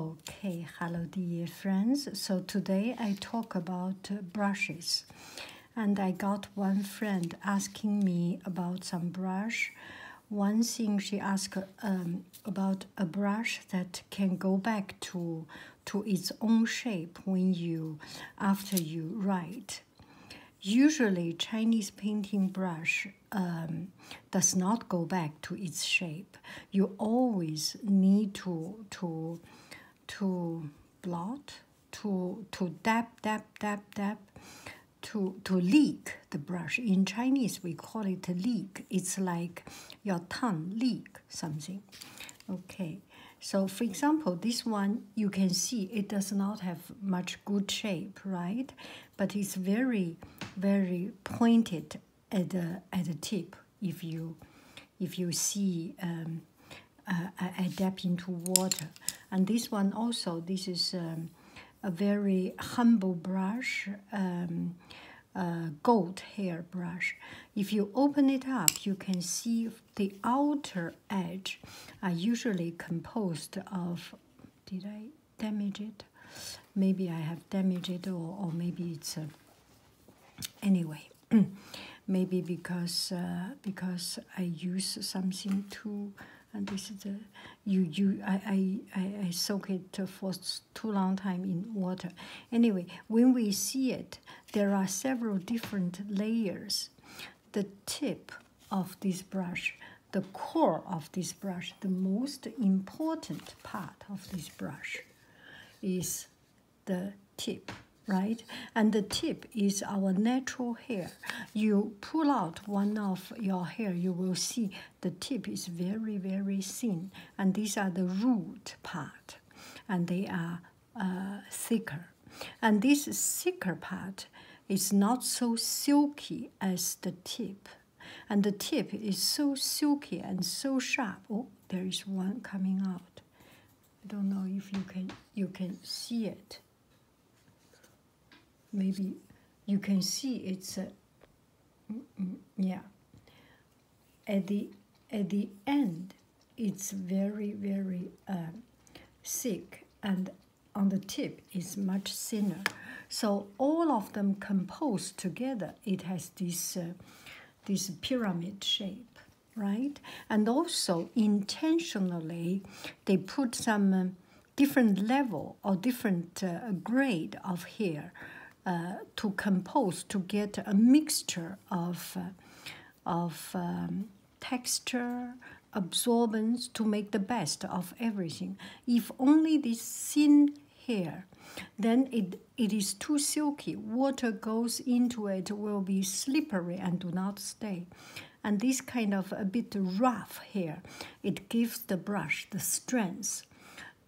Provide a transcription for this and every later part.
Okay, hello dear friends. So today I talk about brushes. And I got one friend asking me about some brush. One thing she asked um, about a brush that can go back to to its own shape when you after you write. Usually Chinese painting brush um, does not go back to its shape. You always need to to to blot, to to dab dab dab dab, to to leak the brush. In Chinese, we call it leak. It's like your tongue leak something. Okay. So for example, this one, you can see it does not have much good shape, right? But it's very, very pointed at the at the tip if you if you see um, uh, adapt into water and this one also this is um, a very humble brush um, gold hair brush if you open it up you can see the outer edge are usually composed of did I damage it. Maybe I have damaged it, or, or maybe it's a, uh, anyway. maybe because uh, because I use something too, and this is a you you I I I soak it for too long time in water. Anyway, when we see it, there are several different layers. The tip of this brush the core of this brush, the most important part of this brush is the tip, right? And the tip is our natural hair. You pull out one of your hair, you will see the tip is very, very thin. And these are the root part, and they are uh, thicker. And this thicker part is not so silky as the tip and the tip is so silky and so sharp. Oh, there is one coming out. I don't know if you can you can see it. Maybe you can see it's a mm, mm, yeah. At the at the end, it's very very um, thick and on the tip is much thinner. So all of them composed together, it has this, uh, this pyramid shape, right? And also intentionally, they put some uh, different level or different uh, grade of hair to compose to get a mixture of, of um, texture, absorbance to make the best of everything. If only this thin hair, then it, it is too silky. Water goes into it, will be slippery and do not stay. And this kind of a bit rough hair, it gives the brush the strength,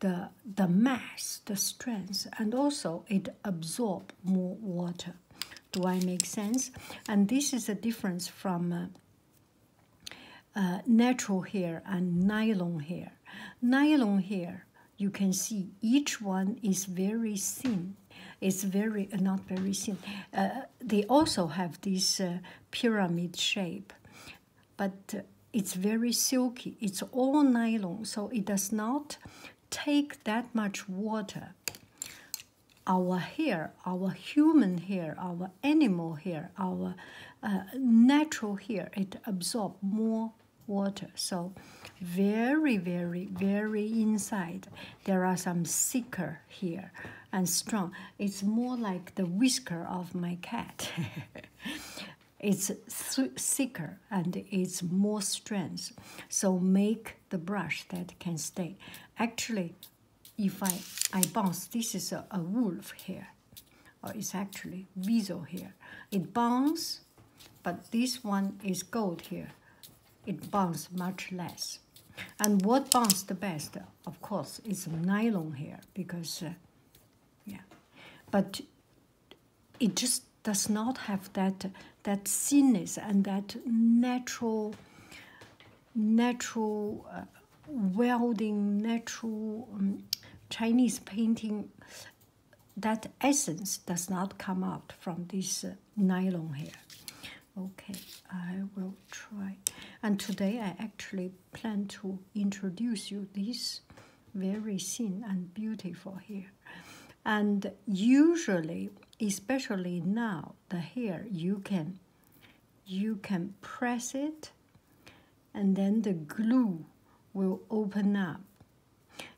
the, the mass, the strength, and also it absorbs more water. Do I make sense? And this is a difference from uh, uh, natural hair and nylon hair. Nylon hair, you can see each one is very thin. It's very, uh, not very thin. Uh, they also have this pyramid shape, but it's very silky. It's all nylon, so it does not take that much water. Our hair our human hair, our animal hair, our uh, natural hair, it absorbs more water. So, very, very, very inside, there are some thicker here and strong. It's more like the whisker of my cat. it's thicker and it's more strength. So, make the brush that can stay. Actually, if I, I bounce, this is a, a wolf hair, or it's actually weasel hair. It bounces, but this one is gold here. It bounces much less. And what bounces the best, of course, is nylon hair because, uh, yeah, but it just does not have that that thinness and that natural natural uh, welding, natural um, Chinese painting, that essence does not come out from this uh, nylon here. Okay, I will try. And today I actually plan to introduce you this very thin and beautiful hair. And usually, especially now, the hair you can you can press it and then the glue will open up.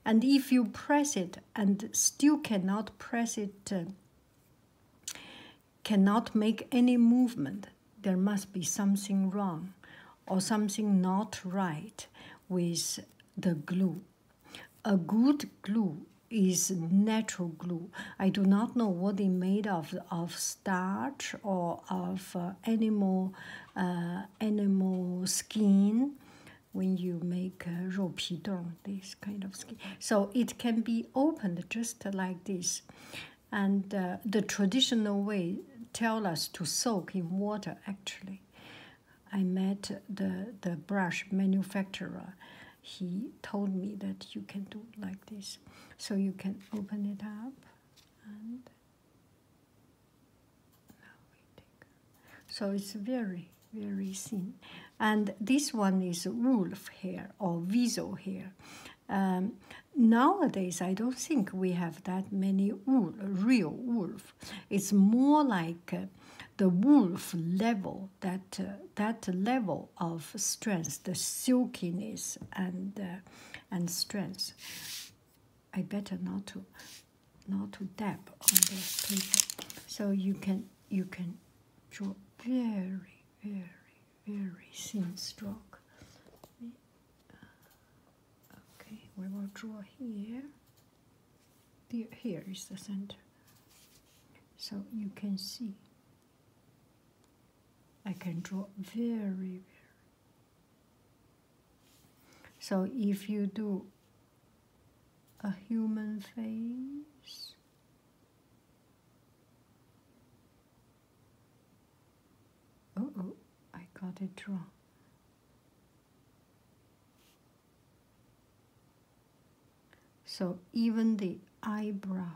And if you press it and still cannot press it, uh, cannot make any movement, there must be something wrong or something not right with the glue. A good glue is natural glue. I do not know what it made of of starch or of uh, animal uh, animal skin. When you make rou uh, dong, this kind of skin, so it can be opened just like this, and uh, the traditional way tell us to soak in water. Actually, I met the the brush manufacturer he told me that you can do like this. So you can open it up and So it's very, very thin. And this one is wolf hair or weasel hair. Um, nowadays, I don't think we have that many wool, real wolf. It's more like uh, the wolf level, that, uh, that level of strength, the silkiness and uh, and strength. I better not to not to dab on this paper, so you can you can draw very very very thin stroke. Okay, we will draw here. Here is the center, so you can see I can draw very, well. So if you do a human face, oh, oh, I got it wrong. So even the eyebrow.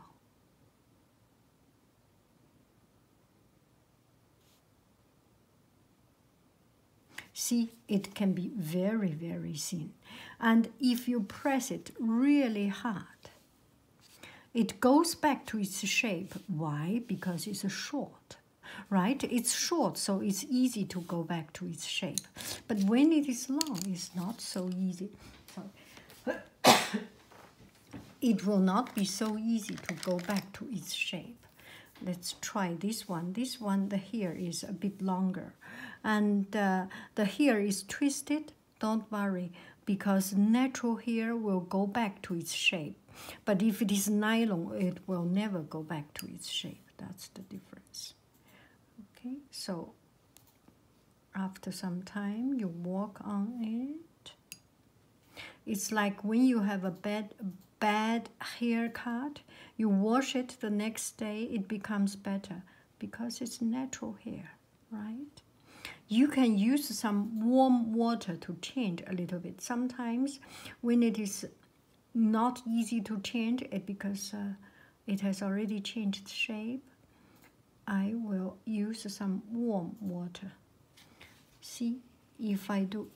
See, it can be very, very thin. And if you press it really hard, it goes back to its shape. Why? Because it's short, right? It's short, so it's easy to go back to its shape. But when it is long, it's not so easy. it will not be so easy to go back to its shape. Let's try this one. This one, the hair is a bit longer. And uh, the hair is twisted. Don't worry, because natural hair will go back to its shape. But if it is nylon, it will never go back to its shape. That's the difference. Okay, so after some time, you walk on it. It's like when you have a bad, bad haircut, you wash it the next day, it becomes better because it's natural hair, right? You can use some warm water to change a little bit. Sometimes when it is not easy to change, it because it has already changed shape. I will use some warm water. See if I do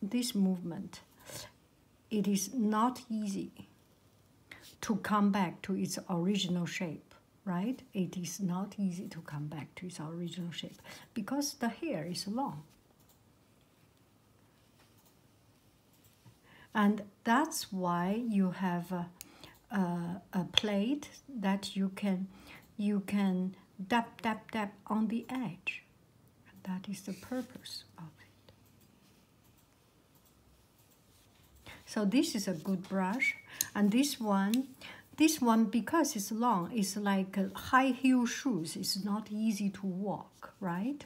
this movement, it is not easy to come back to its original shape, right? It is not easy to come back to its original shape because the hair is long and that's why you have a, plate that you can you can dab dab dab on the edge that is the purpose of it so this is a good brush and this one this one because it's long it's like uh, high heel shoes it's not easy to walk right?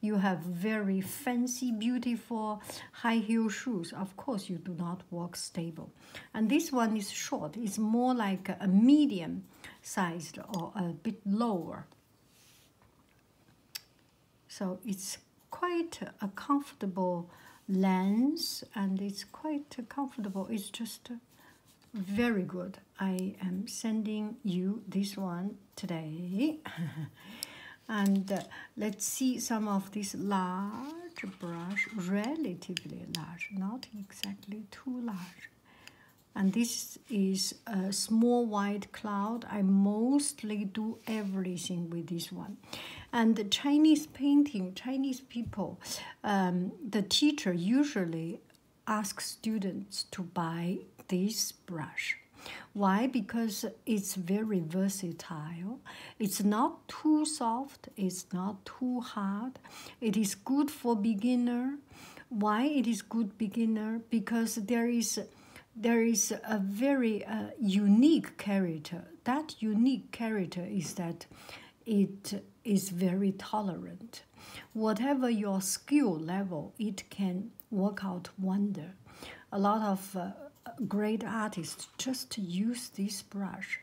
You have very fancy, beautiful high heel shoes. Of course, you do not walk stable. And this one is short, it's more like a medium sized or a bit lower. So it's quite a comfortable lens and it's quite comfortable. It's just very good. I am sending you this one today. and uh, let's see some of this large brush, relatively large, not exactly too large. And this is a small white cloud. I mostly do everything with this one. And the Chinese painting, Chinese people, um, the teacher usually ask students to buy this brush. Why? Because it's very versatile. It's not too soft, it's not too hard. It is good for beginner. Why it is good beginner? Because there is there is a very uh, unique character. That unique character is that it is very tolerant. Whatever your skill level, it can work out wonder. A lot of uh, great artists just use this brush.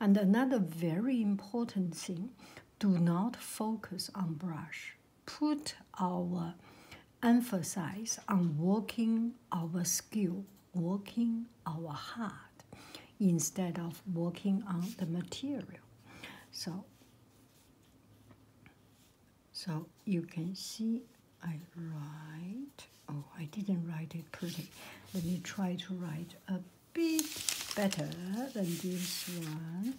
And another very important thing, do not focus on brush. Put our emphasis on working our skill, working our heart, instead of working on the material. So so you can see I write. Oh, I didn't write it pretty. Let me try to write a bit better than this one.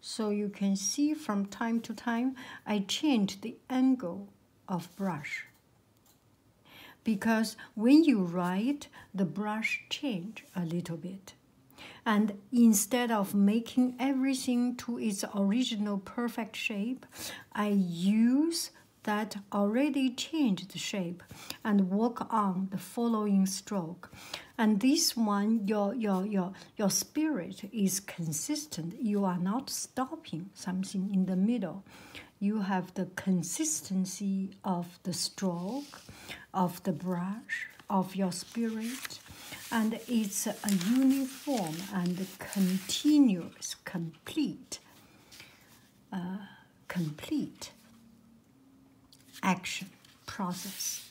So you can see from time to time, I change the angle of brush. Because when you write, the brush change a little bit. And instead of making everything to its original perfect shape, I use that already changed shape and work on the following stroke. And this one, your, your, your, your spirit is consistent. You are not stopping something in the middle. You have the consistency of the stroke, of the brush, of your spirit, and it's a uniform and continuous, complete, uh, complete action process.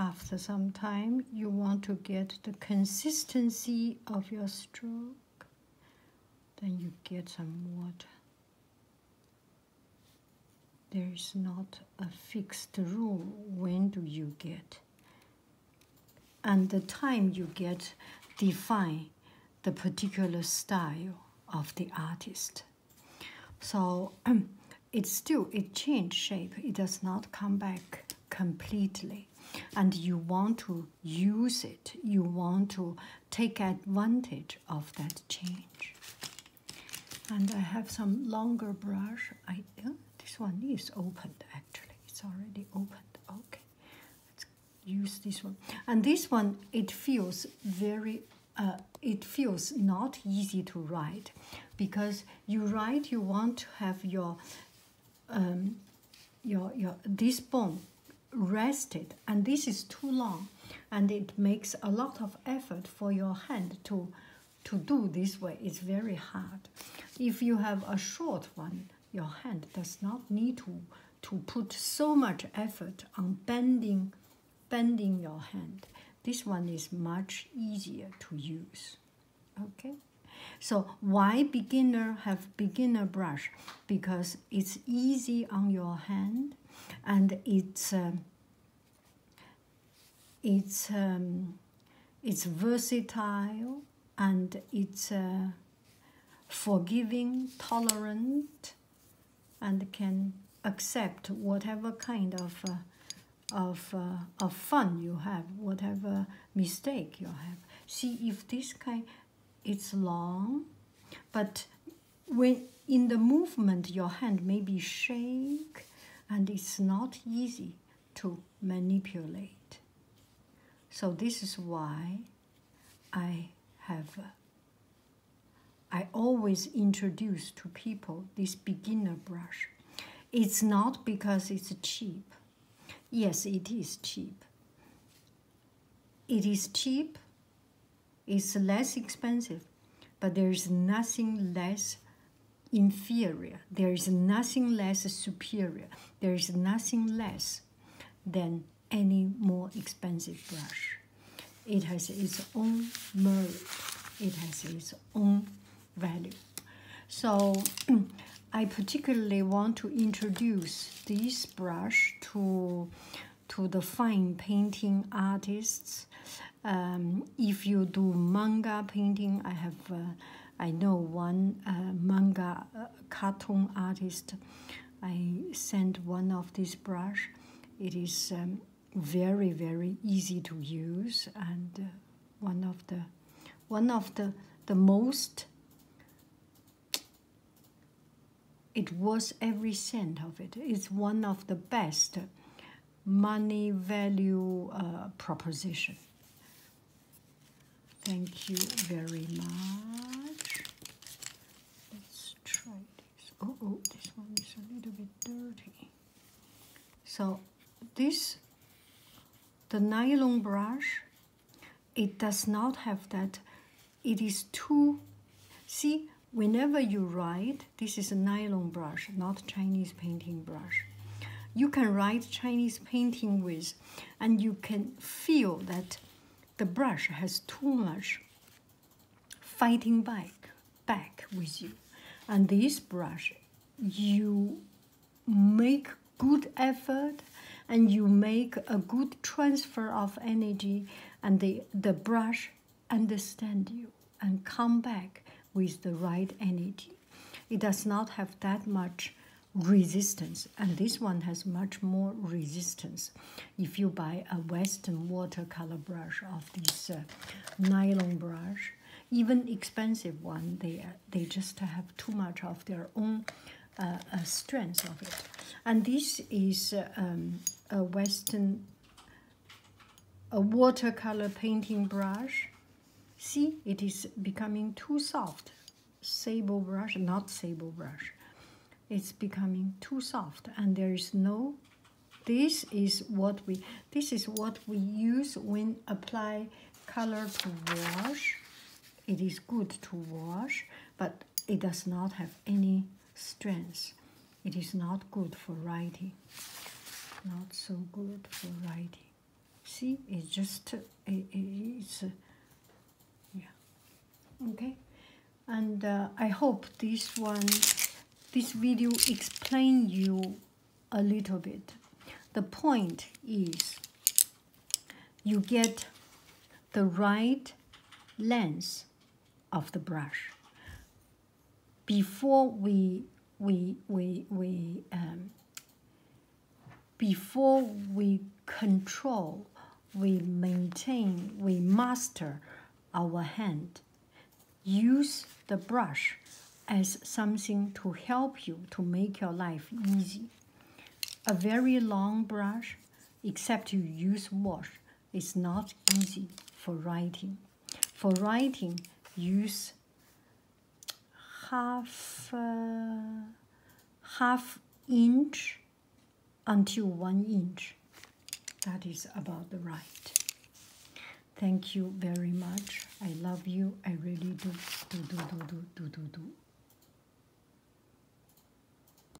After some time, you want to get the consistency of your stroke. Then you get some water there's not a fixed rule when do you get and the time you get define the particular style of the artist so it still it changed shape it does not come back completely and you want to use it you want to take advantage of that change and I have some longer brush. I this one is opened actually. It's already opened. Okay, let's use this one. And this one it feels very. Uh, it feels not easy to write because you write you want to have your um, your your this bone rested and this is too long and it makes a lot of effort for your hand to to do this way is very hard if you have a short one your hand does not need to to put so much effort on bending bending your hand this one is much easier to use okay so why beginner have beginner brush because it's easy on your hand and it's um, it's um, it's versatile and it's uh, forgiving, tolerant, and can accept whatever kind of uh, of uh, fun you have, whatever mistake you have. See if this guy, it's long, but when in the movement your hand maybe shake and it's not easy to manipulate so this is why i have i always introduce to people this beginner brush it's not because it's cheap yes it is cheap it is cheap it's less expensive, but there's nothing less inferior. There is nothing less superior. There is nothing less than any more expensive brush. It has its own merit. It has its own value. So I particularly want to introduce this brush to to the fine painting artists. Um, if you do manga painting, I have uh, I know one uh, manga uh, cartoon artist. I sent one of this brush. It is um, very very easy to use and uh, one of the one of the the most it was every cent of it. It's one of the best money value uh, proposition. Thank you very much. Let's try this. Oh, oh, this one is a little bit dirty. So this, the nylon brush, it does not have that. It is too, see, whenever you write, this is a nylon brush, not Chinese painting brush. You can write Chinese painting with, and you can feel that the brush has too much fighting back, back with you. And this brush, you make good effort and you make a good transfer of energy and the, the brush understand you and come back with the right energy. It does not have that much resistance, and this one has much more resistance. If you buy a Western watercolor brush of this uh, nylon brush, even expensive one, they they just have too much of their own uh, uh, strength of it. And this is um, a Western a watercolor painting brush. See, it is becoming too soft. Sable brush, not sable brush. It's becoming too soft and there is no this is what we this is what we use when apply color to wash it is good to wash but it does not have any strength. It is not good for writing. Not so good for writing. See, uh, it just it, it's uh, yeah. Okay, and uh, I hope this one, this video explain you a little bit. The point is, you get the right lens of the brush. Before we we we we um, before we control, we maintain, we master our hand. Use the brush as something to help you to make your life easy. A very long brush, except you use wash, is not easy for writing. For writing, use half uh, half inch until one inch. That is about the right. Thank you very much. I love you. I really do. Do do do do do do do.